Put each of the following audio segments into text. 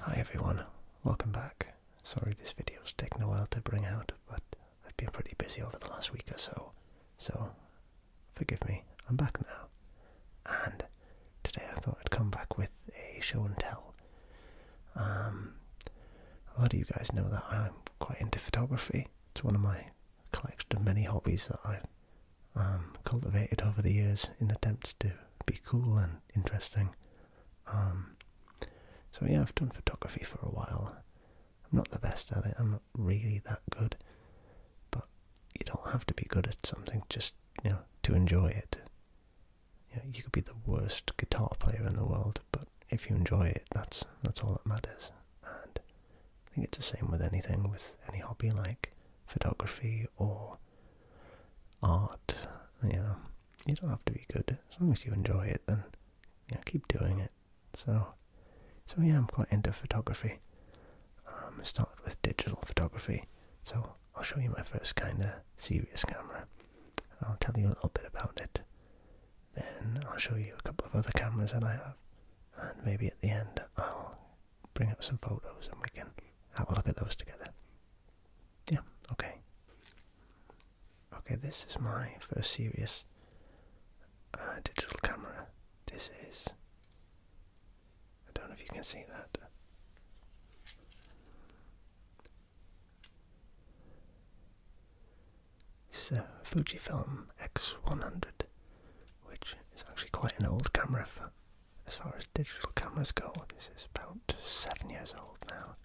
Hi everyone, welcome back. Sorry this video's taken a while to bring out, but I've been pretty busy over the last week or so, so forgive me, I'm back now. And today I thought I'd come back with a show and tell. Um, a lot of you guys know that I'm quite into photography, it's one of my collection of many hobbies that I've um, cultivated over the years in attempts to be cool and interesting. Um, so yeah, I've done photography for a while. I'm not the best at it. I'm not really that good, but you don't have to be good at something just you know to enjoy it. You, you could be the worst guitar player in the world, but if you enjoy it, that's that's all that matters. I think it's the same with anything, with any hobby like photography or art. You know, you don't have to be good as long as you enjoy it. Then you keep doing it. So, so yeah, I'm quite into photography. Um, I started with digital photography, so I'll show you my first kind of serious camera. I'll tell you a little bit about it then I'll show you a couple of other cameras that I have, and maybe at the end I'll bring up some photos and we can have a look at those together. Yeah, okay. Okay, this is my first serious uh, digital camera. This is. I don't know if you can see that. This is a Fujifilm X100, which is actually quite an old camera as far as digital cameras go. This is about seven years old now.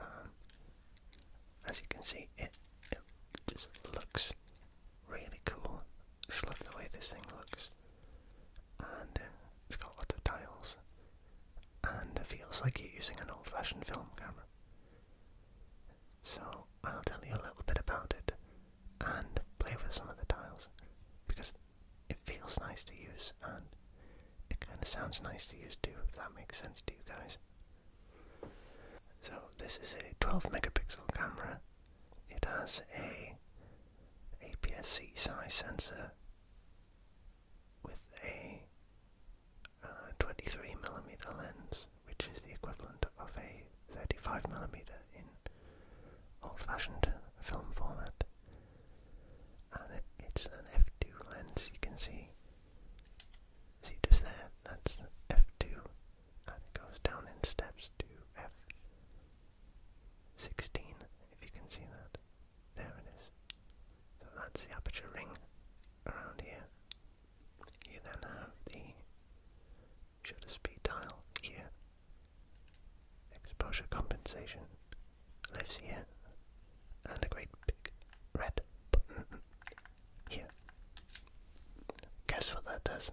Um, as you can see, it looks really cool. Just love the way this thing looks, and uh, it's got lots of dials, and it feels like you're using an old-fashioned film camera. So I'll tell you a little bit about it and play with some of the tiles because it feels nice to use and it kind of sounds nice to use too, if that makes sense to you guys. So this is a 12 megapixel camera. It has a APS-C size sensor with a 23mm uh, lens which is the equivalent of a 35mm in old-fashioned film format. And it's an f2 lens, you can see. See just there, that's f2, and it goes down in steps to f16, if you can see that. There it is. So that's the aperture ring around here, you then have the shutter speed dial here. Exposure compensation lives here. And a great big red button here. Guess what that does?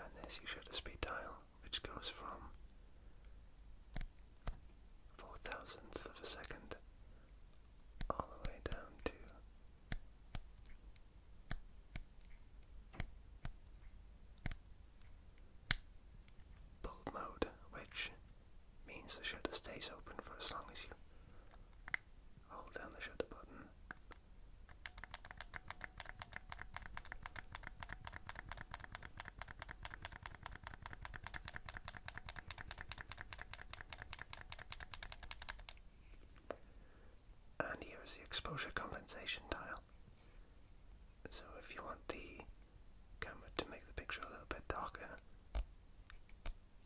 And there's your shutter speed dial, which goes from four thousandths of a second all the way down to bulb mode, which means the shutter stays open for as long as you hold down the shutter button. And here is the exposure compensation dial. So if you want the camera to make the picture a little bit darker,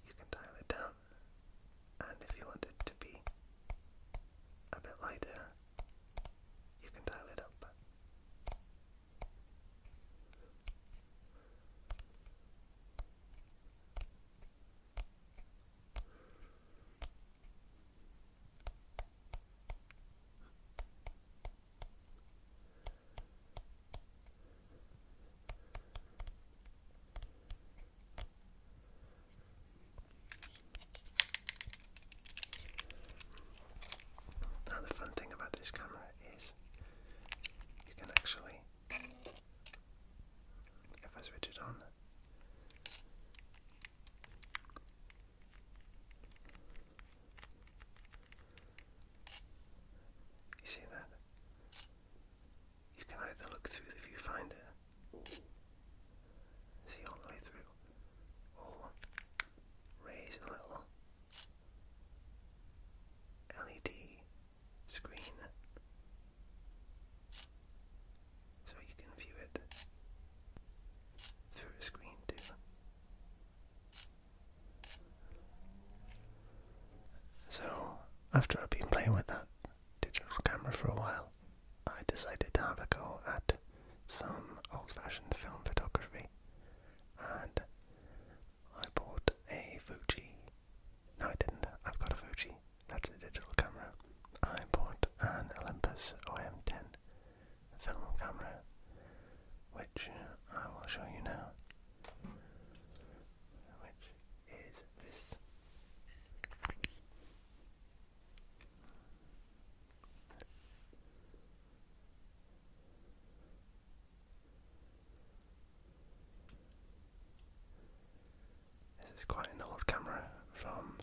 you can dial it down. And if you want it to be a bit lighter, you can dial it up. Now the fun thing about this camera is you can actually, if I switch it on, you see that? You can either look through the viewfinder, see all the way through, or raise a little LED screen so you can view it through a screen too. So, after I've been playing with that digital camera for a while, I decided to have a go at some old fashioned film photography. And I bought a Fuji. No, I didn't. I've got a Fuji. That's a digital camera. I bought an Olympus OM10 film camera, which I will show you now. Which is this. This is quite an old camera from,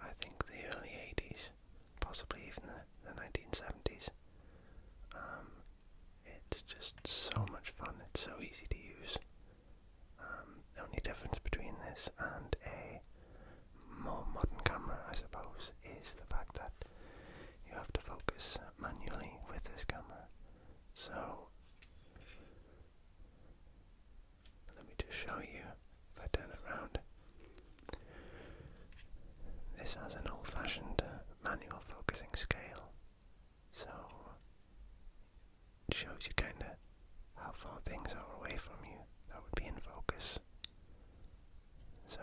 I think, the early 80s, possibly even the, 1970s. Um, it's just so much fun, it's so easy to use. Um, the only difference between this and a more modern camera, I suppose, is the fact that you have to focus manually with this camera. So, let me just show you if I turn it around. This has an old fashioned manual focusing scale, so it shows you kinda how far things are away from you that would be in focus. So,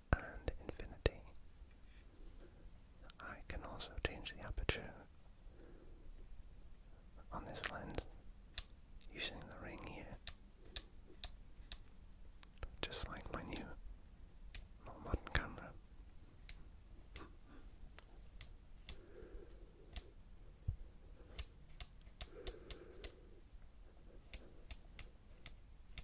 and infinity. I can also change the aperture on this lens using the ring here, just like my new, more modern camera.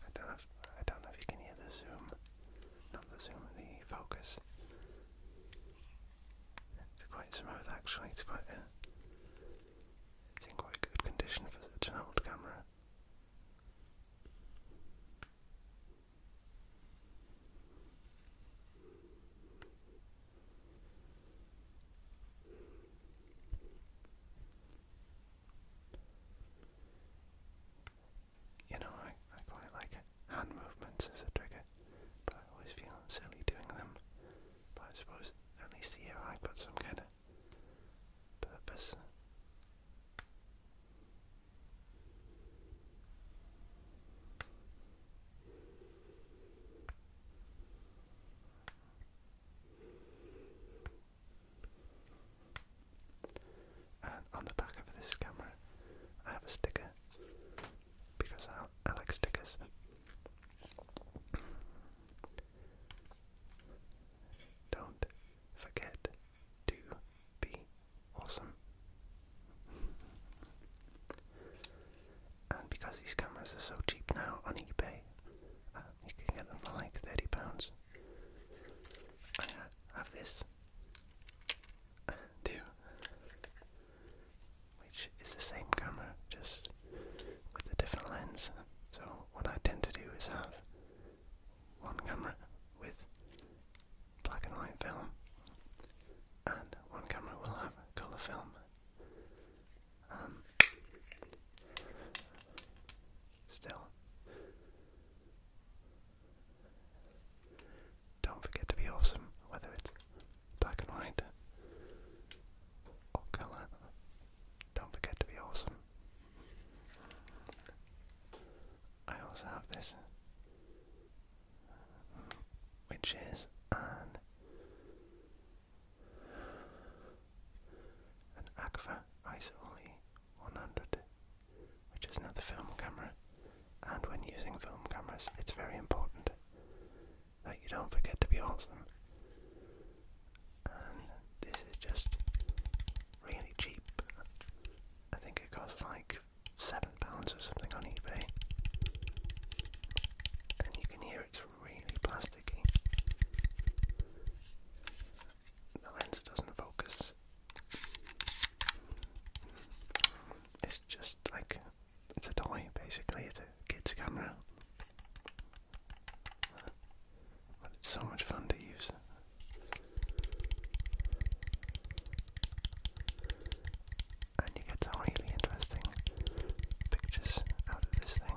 I don't know if, I don't know if you can hear the zoom not the zoom, the focus. It's quite smooth actually, it's quite it's in quite good condition for such an old camera. You know, I, I quite like hand movements as a trigger, but I always feel silly doing them. But I suppose at least here I have got some kind of purpose on the back of this camera, I have a sticker because I, like stickers. Don't forget to be awesome. and because these cameras are so cheap now on eBay, uh, you can get them for like £30. I have this do. Which is the same camera, just with a different lens. So, what I tend to do is have one camera with black and white film, and one camera will have colour film. Um, still, don't forget to be awesome, whether it's black and white or colour. Don't forget to be awesome. I also have this, which is an an Agfa Ice 100 which is another film camera. And when using film cameras, it's very important that you don't forget to be awesome. this is just really cheap. I think it costs like seven pounds or something on eBay. And you can hear it's really plasticky. The lens doesn't focus it's just like it's a toy basically, it's a kid's camera. But it's so much fun to use. And you get some really interesting pictures out of this thing.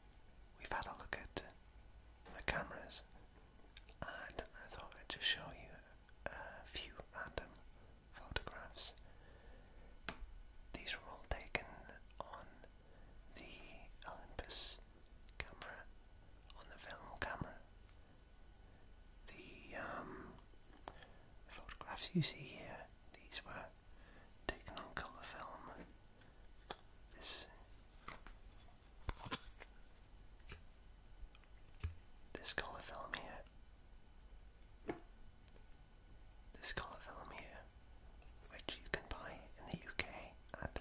we've had a look at the cameras and I thought I'd just show you a few random photographs. These were all taken on the Olympus camera, on the film camera. The um, photographs you see here, these were taken on colour film this this color film here, this color film here, which you can buy in the UK at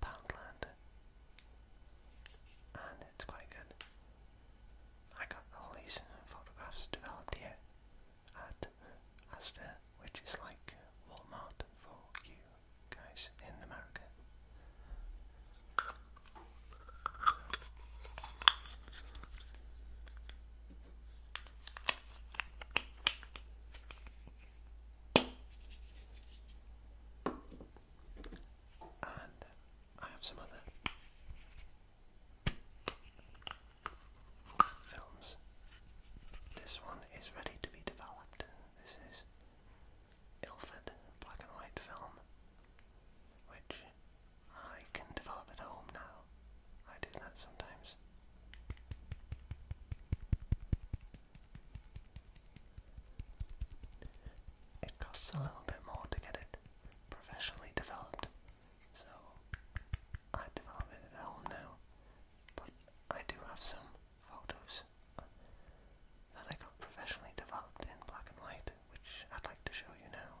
Poundland, and it's quite good. I got all these photographs developed here at Asda, which is like Walmart for you guys in America. And I have some other films. This one is ready to be developed. This is Ilford black and white film, which I can develop at home now. I do that sometimes. It costs a little bit more to get it professionally developed, so I develop it at home now. But I do have some photos that I got professionally developed in black and white, which I'd like to show you now.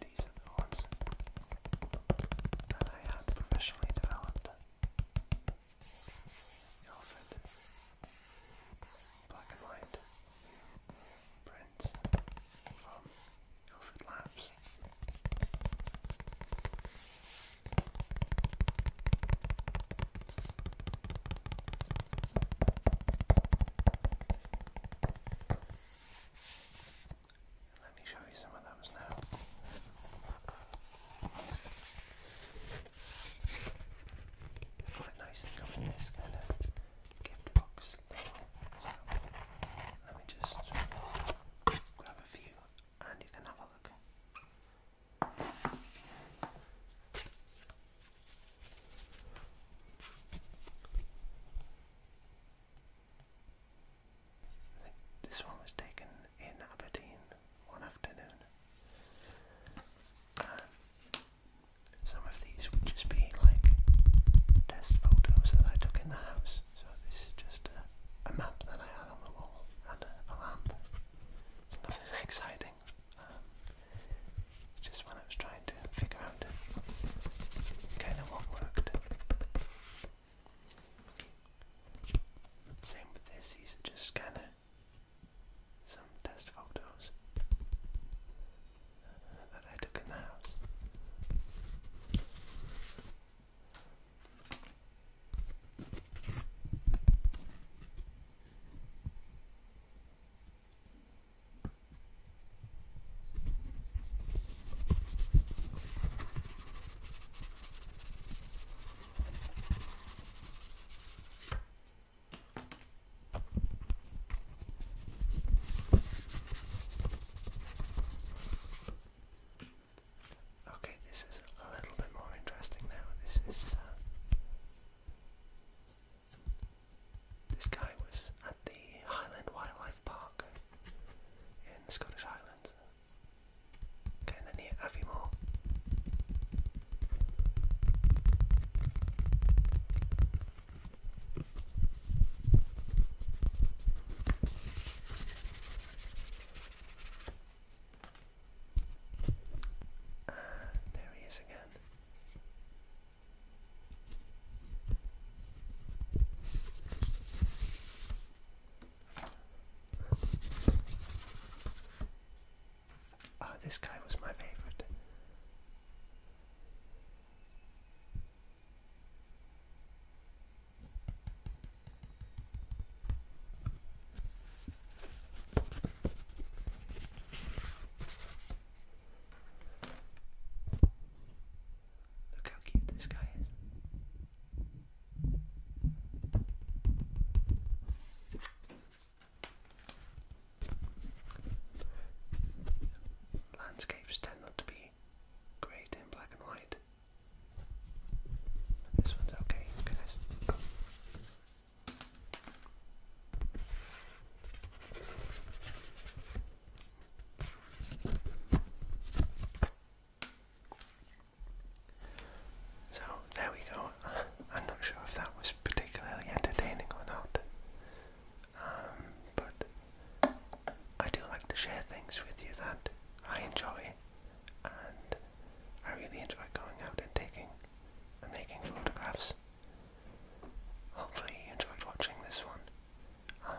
These are the ones that I had professionally developed. Alfred, black and white prints from Alfred Labs. Let me show you some of those now. Quite nice to come in this kind of gift box let me just grab a few and you can have a look this one was taken in Aberdeen one afternoon. some of these would just be like test photos that I took in the house. So this is just a, map that I had on the wall and a, lamp. It's nothing exciting. Um, just when I was trying to figure out kind of what worked. Same with this, these are just kind of some test photos that I took in the house. Okay, this is a little bit more interesting now. This is. Uh, this guy was at the Highland Wildlife Park in the Scottish Highlands. Okay, and near Aviemore. And there he is again. Oh, this guy was my favorite. Look how cute this guy is. Landscapes tend not to be great in black and white. this one's okay, guys. So there we go. I'm not sure if that was particularly entertaining or not, um, but I do like to share things with you that I enjoy, and I really enjoy going out and taking and making photographs. Hopefully you enjoyed watching this one. Um,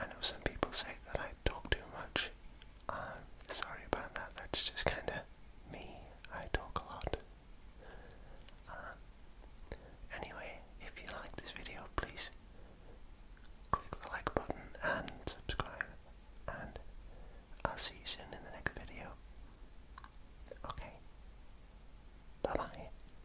I know some people say that I talk too much. I'm uh, sorry about that. That's just kind of me. I talk a lot. Uh, anyway, if you like this video, please click the like button and subscribe. And I'll see you soon in the next video. Okay. Bye bye.